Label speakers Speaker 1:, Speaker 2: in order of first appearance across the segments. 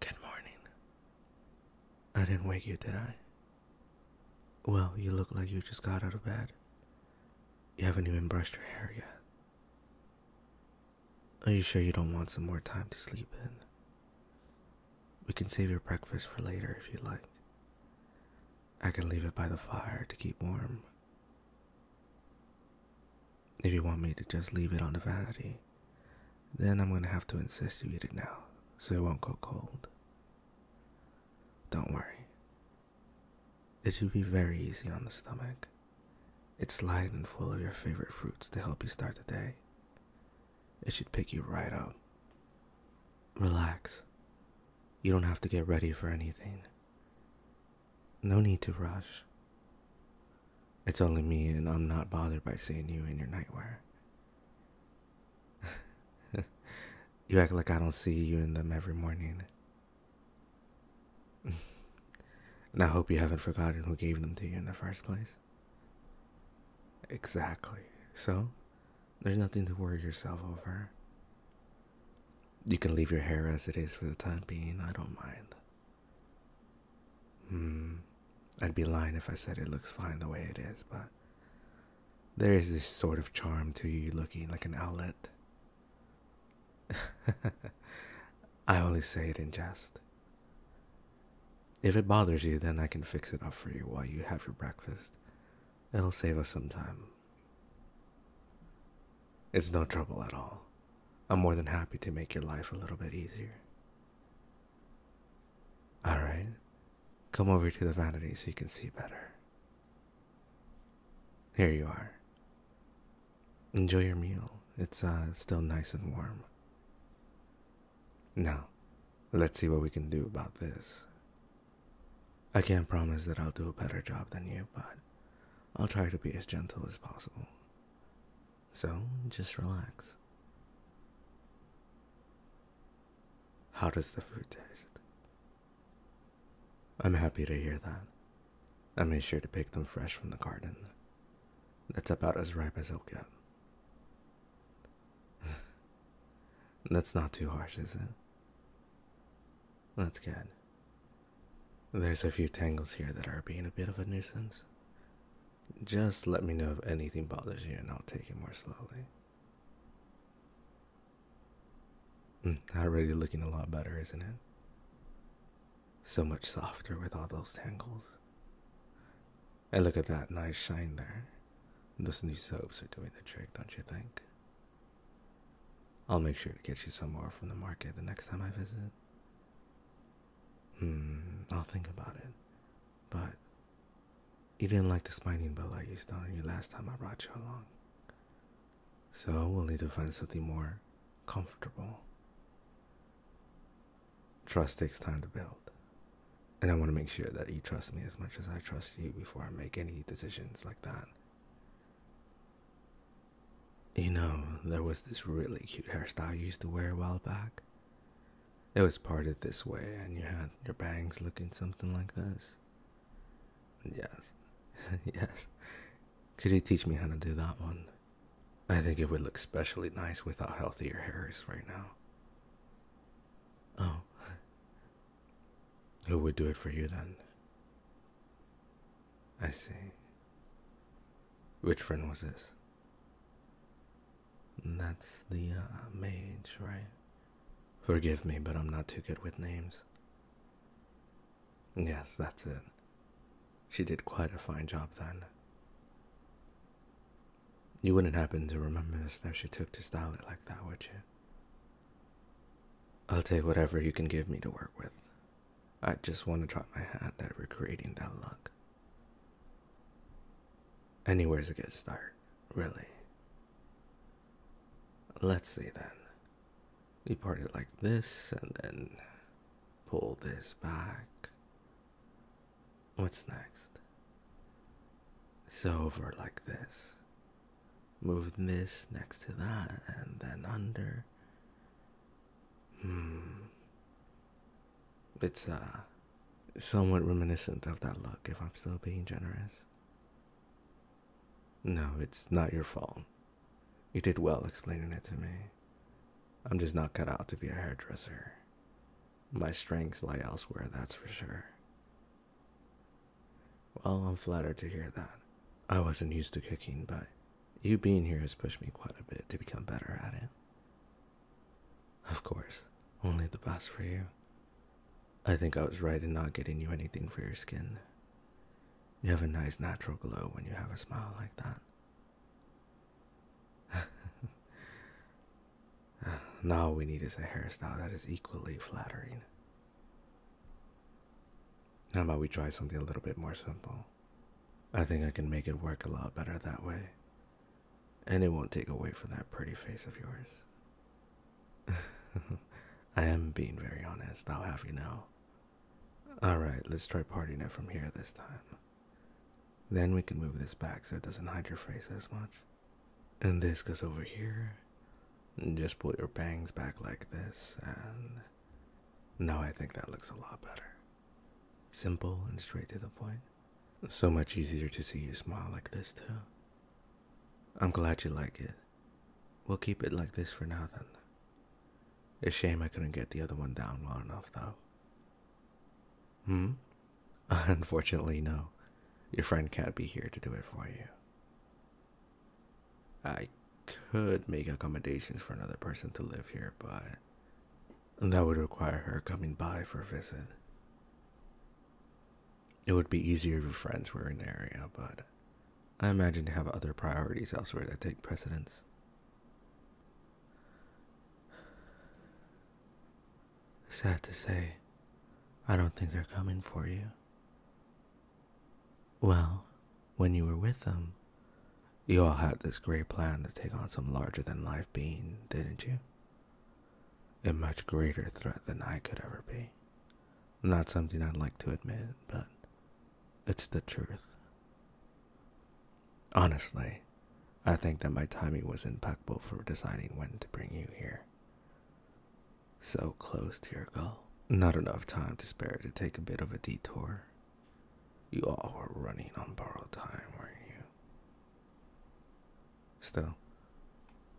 Speaker 1: Good morning. I didn't wake you, did I? Well, you look like you just got out of bed. You haven't even brushed your hair yet. Are you sure you don't want some more time to sleep in? We can save your breakfast for later if you like. I can leave it by the fire to keep warm. If you want me to just leave it on the vanity, then I'm going to have to insist you eat it now so it won't go cold. Don't worry. It should be very easy on the stomach. It's light and full of your favorite fruits to help you start the day. It should pick you right up. Relax. You don't have to get ready for anything. No need to rush. It's only me, and I'm not bothered by seeing you in your nightwear. you act like I don't see you in them every morning. and I hope you haven't forgotten who gave them to you in the first place. Exactly. So, there's nothing to worry yourself over. You can leave your hair as it is for the time being, I don't mind. Hmm. I'd be lying if I said it looks fine the way it is, but there is this sort of charm to you looking like an outlet. I only say it in jest. If it bothers you, then I can fix it up for you while you have your breakfast. It'll save us some time. It's no trouble at all. I'm more than happy to make your life a little bit easier. Alright, come over to the vanity so you can see better. Here you are. Enjoy your meal. It's uh, still nice and warm. Now, let's see what we can do about this. I can't promise that I'll do a better job than you, but I'll try to be as gentle as possible. So just relax. How does the fruit taste? I'm happy to hear that. I made sure to pick them fresh from the garden. That's about as ripe as it'll get. That's not too harsh, is it? That's good. There's a few tangles here that are being a bit of a nuisance. Just let me know if anything bothers you and I'll take it more slowly. Mm, already looking a lot better, isn't it? So much softer with all those tangles. And look at that nice shine there. Those new soaps are doing the trick, don't you think? I'll make sure to get you some more from the market the next time I visit. Hmm, I'll think about it. But you didn't like the spiny belt I used on you last time I brought you along. So we'll need to find something more comfortable. Trust takes time to build. And I want to make sure that you trust me as much as I trust you before I make any decisions like that. You know, there was this really cute hairstyle you used to wear a while back. It was parted this way, and you had your bangs looking something like this. Yes, yes. Could you teach me how to do that one? I think it would look especially nice with how healthy your hair is right now. Oh. Who would do it for you then? I see. Which friend was this? That's the uh, mage, right? Forgive me, but I'm not too good with names. Yes, that's it. She did quite a fine job then. You wouldn't happen to remember the steps she took to style it like that, would you? I'll take whatever you can give me to work with. I just want to try my hand at recreating that look. Anywhere's a good start, really. Let's see then. We part it like this and then pull this back. What's next? Silver like this. Move this next to that and then under Hmm. It's uh somewhat reminiscent of that look if I'm still being generous. No, it's not your fault. You did well explaining it to me. I'm just not cut out to be a hairdresser. My strengths lie elsewhere, that's for sure. Well, I'm flattered to hear that. I wasn't used to cooking, but you being here has pushed me quite a bit to become better at it. Of course, only the best for you. I think I was right in not getting you anything for your skin. You have a nice natural glow when you have a smile like that. now we need is a hairstyle that is equally flattering. How about we try something a little bit more simple? I think I can make it work a lot better that way. And it won't take away from that pretty face of yours. I am being very honest, I'll have you know. Alright, let's try parting it from here this time. Then we can move this back so it doesn't hide your face as much. And this goes over here. Just pull your bangs back like this and no, I think that looks a lot better. Simple and straight to the point. So much easier to see you smile like this, too. I'm glad you like it. We'll keep it like this for now, then. It's shame I couldn't get the other one down long enough, though. Hmm? Unfortunately, no. Your friend can't be here to do it for you. I could make accommodations for another person to live here, but that would require her coming by for a visit. It would be easier if your friends were in the area, but I imagine you have other priorities elsewhere that take precedence. Sad to say, I don't think they're coming for you. Well, when you were with them, you all had this great plan to take on some larger than life being, didn't you? A much greater threat than I could ever be. Not something I'd like to admit, but it's the truth. Honestly, I think that my timing was impeccable for deciding when to bring you here. So close to your goal. Not enough time to spare to take a bit of a detour. You all were running on borrowed time, weren't you? Still,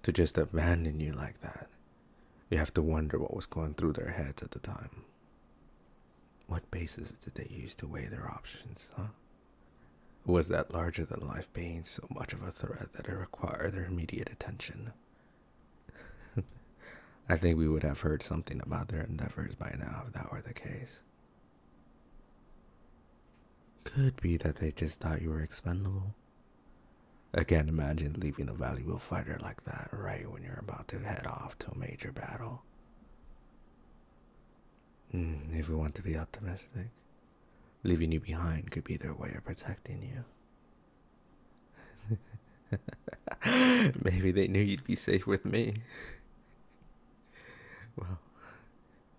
Speaker 1: to just abandon you like that, you have to wonder what was going through their heads at the time. What basis did they use to weigh their options, huh? Was that larger than life being so much of a threat that it required their immediate attention? I think we would have heard something about their endeavors by now if that were the case. Could be that they just thought you were expendable. I can't imagine leaving a valuable fighter like that right when you're about to head off to a major battle. Hmm, if we want to be optimistic, leaving you behind could be their way of protecting you. Maybe they knew you'd be safe with me. Well,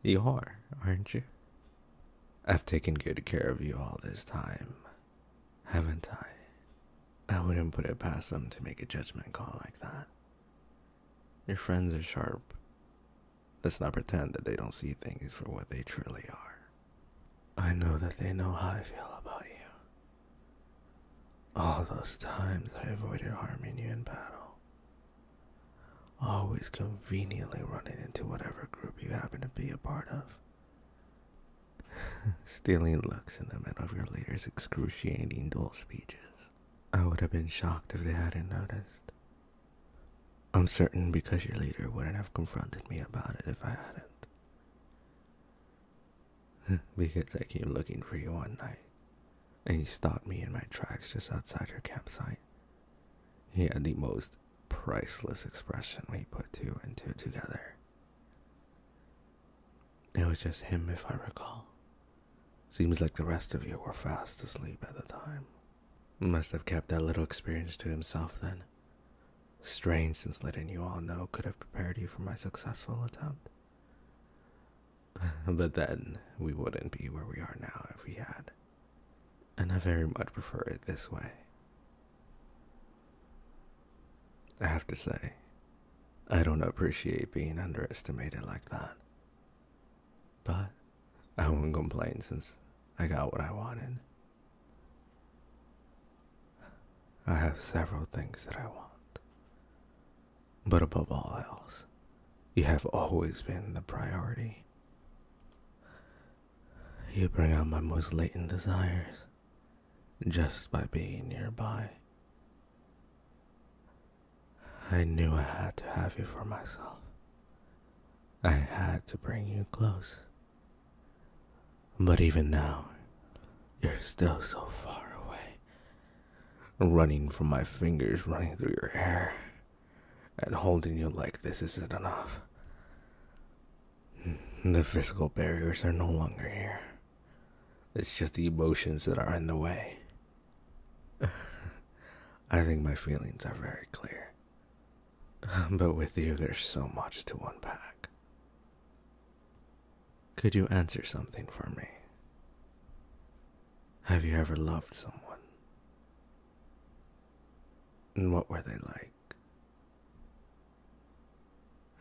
Speaker 1: you are, aren't you? I've taken good care of you all this time, haven't I? I wouldn't put it past them to make a judgment call like that. Your friends are sharp. Let's not pretend that they don't see things for what they truly are. I know that they know how I feel about you. All those times I avoided harming you in battle, always conveniently running into whatever group you happen to be a part of, stealing looks in the middle of your leader's excruciating duel speeches. I would have been shocked if they hadn't noticed. I'm certain because your leader wouldn't have confronted me about it if I hadn't. because I came looking for you one night, and he stopped me in my tracks just outside your campsite. He had the most priceless expression when he put two and two together. It was just him, if I recall. Seems like the rest of you were fast asleep at the time. Must have kept that little experience to himself then. Strange, since letting you all know could have prepared you for my successful attempt. but then we wouldn't be where we are now if we had. And I very much prefer it this way. I have to say, I don't appreciate being underestimated like that. But I won't complain since I got what I wanted. I have several things that I want. But above all else, you have always been the priority. You bring out my most latent desires just by being nearby. I knew I had to have you for myself. I had to bring you close but even now, you're still so far away. Running from my fingers, running through your hair, and holding you like this isn't enough. The physical barriers are no longer here. It's just the emotions that are in the way. I think my feelings are very clear. But with you, there's so much to unpack. Could you answer something for me? Have you ever loved someone? And what were they like?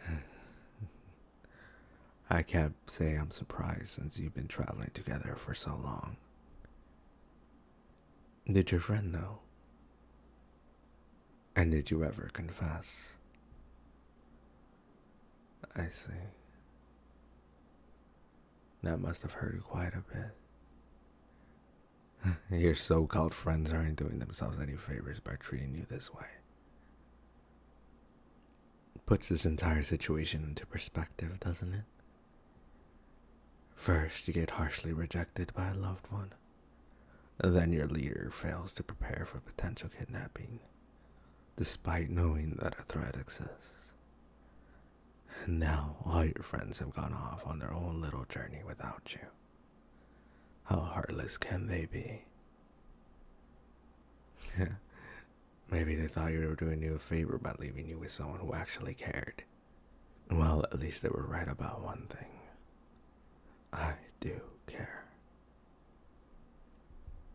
Speaker 1: I can't say I'm surprised since you've been traveling together for so long. Did your friend know? And did you ever confess? I see. That must have hurt you quite a bit. Your so called friends aren't doing themselves any favors by treating you this way. It puts this entire situation into perspective, doesn't it? First, you get harshly rejected by a loved one. Then your leader fails to prepare for potential kidnapping, despite knowing that a threat exists. And now all your friends have gone off on their own little journey without you. How heartless can they be? Maybe they thought you were doing you a favor by leaving you with someone who actually cared. Well, at least they were right about one thing. I do care.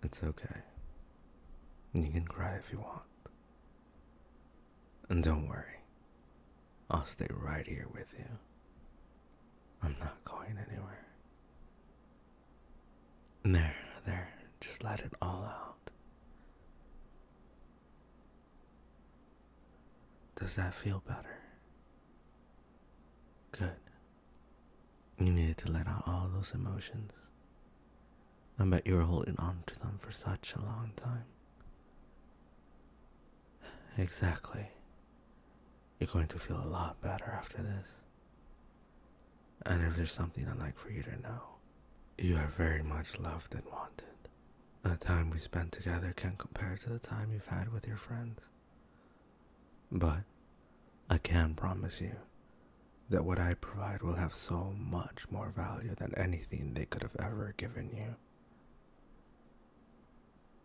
Speaker 1: It's okay. You can cry if you want. And don't worry, I'll stay right here with you. I'm not going anywhere. There, there, just let it all out. Does that feel better? Good. You needed to let out all those emotions. I bet you were holding on to them for such a long time. Exactly. You're going to feel a lot better after this. And if there's something I'd like for you to know, you are very much loved and wanted. The time we spent together can't compare to the time you've had with your friends. But I can promise you that what I provide will have so much more value than anything they could have ever given you.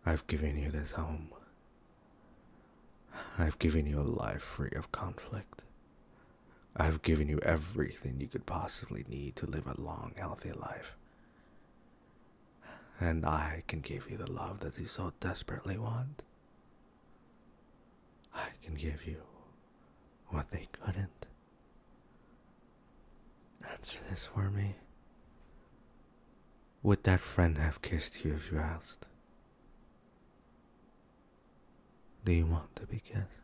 Speaker 1: I've given you this home. I've given you a life free of conflict. I've given you everything you could possibly need to live a long, healthy life and I can give you the love that you so desperately want. I can give you what they couldn't. Answer this for me. Would that friend have kissed you if you asked? Do you want to be kissed?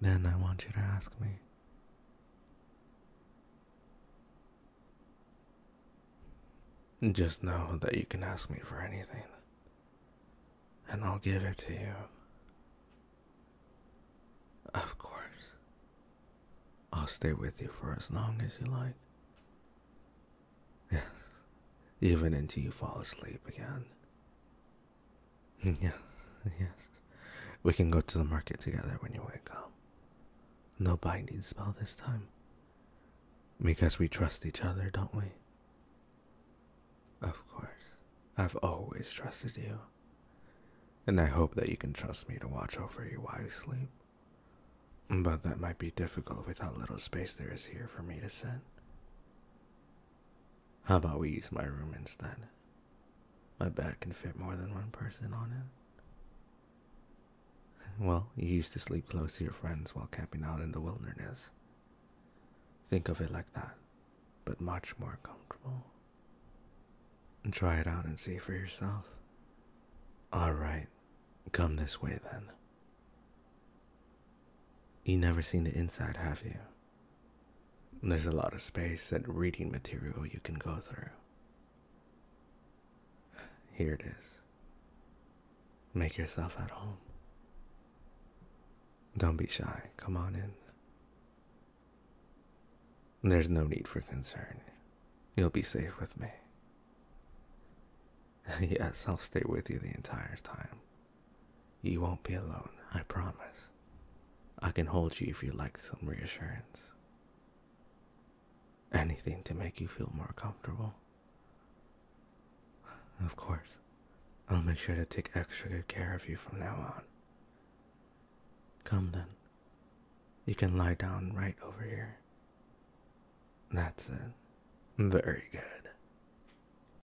Speaker 1: Then I want you to ask me. Just know that you can ask me for anything, and I'll give it to you. Of course. I'll stay with you for as long as you like. Yes, even until you fall asleep again. Hmm, yes, yes. We can go to the market together when you wake up. No binding spell this time. Because we trust each other, don't we? Of course. I've always trusted you. And I hope that you can trust me to watch over you while you sleep. But that might be difficult with how little space there is here for me to sit. How about we use my room instead? My bed can fit more than one person on it. Well, you used to sleep close to your friends while camping out in the wilderness. Think of it like that, but much more comfortable. And try it out and see for yourself. Alright, come this way then. You never seen the inside, have you? There's a lot of space and reading material you can go through. Here it is. Make yourself at home. Don't be shy. Come on in. There's no need for concern. You'll be safe with me. yes, I'll stay with you the entire time. You won't be alone, I promise. I can hold you if you like some reassurance. Anything to make you feel more comfortable. Of course, I'll make sure to take extra good care of you from now on. Come then. You can lie down right over here. That's it. Very good.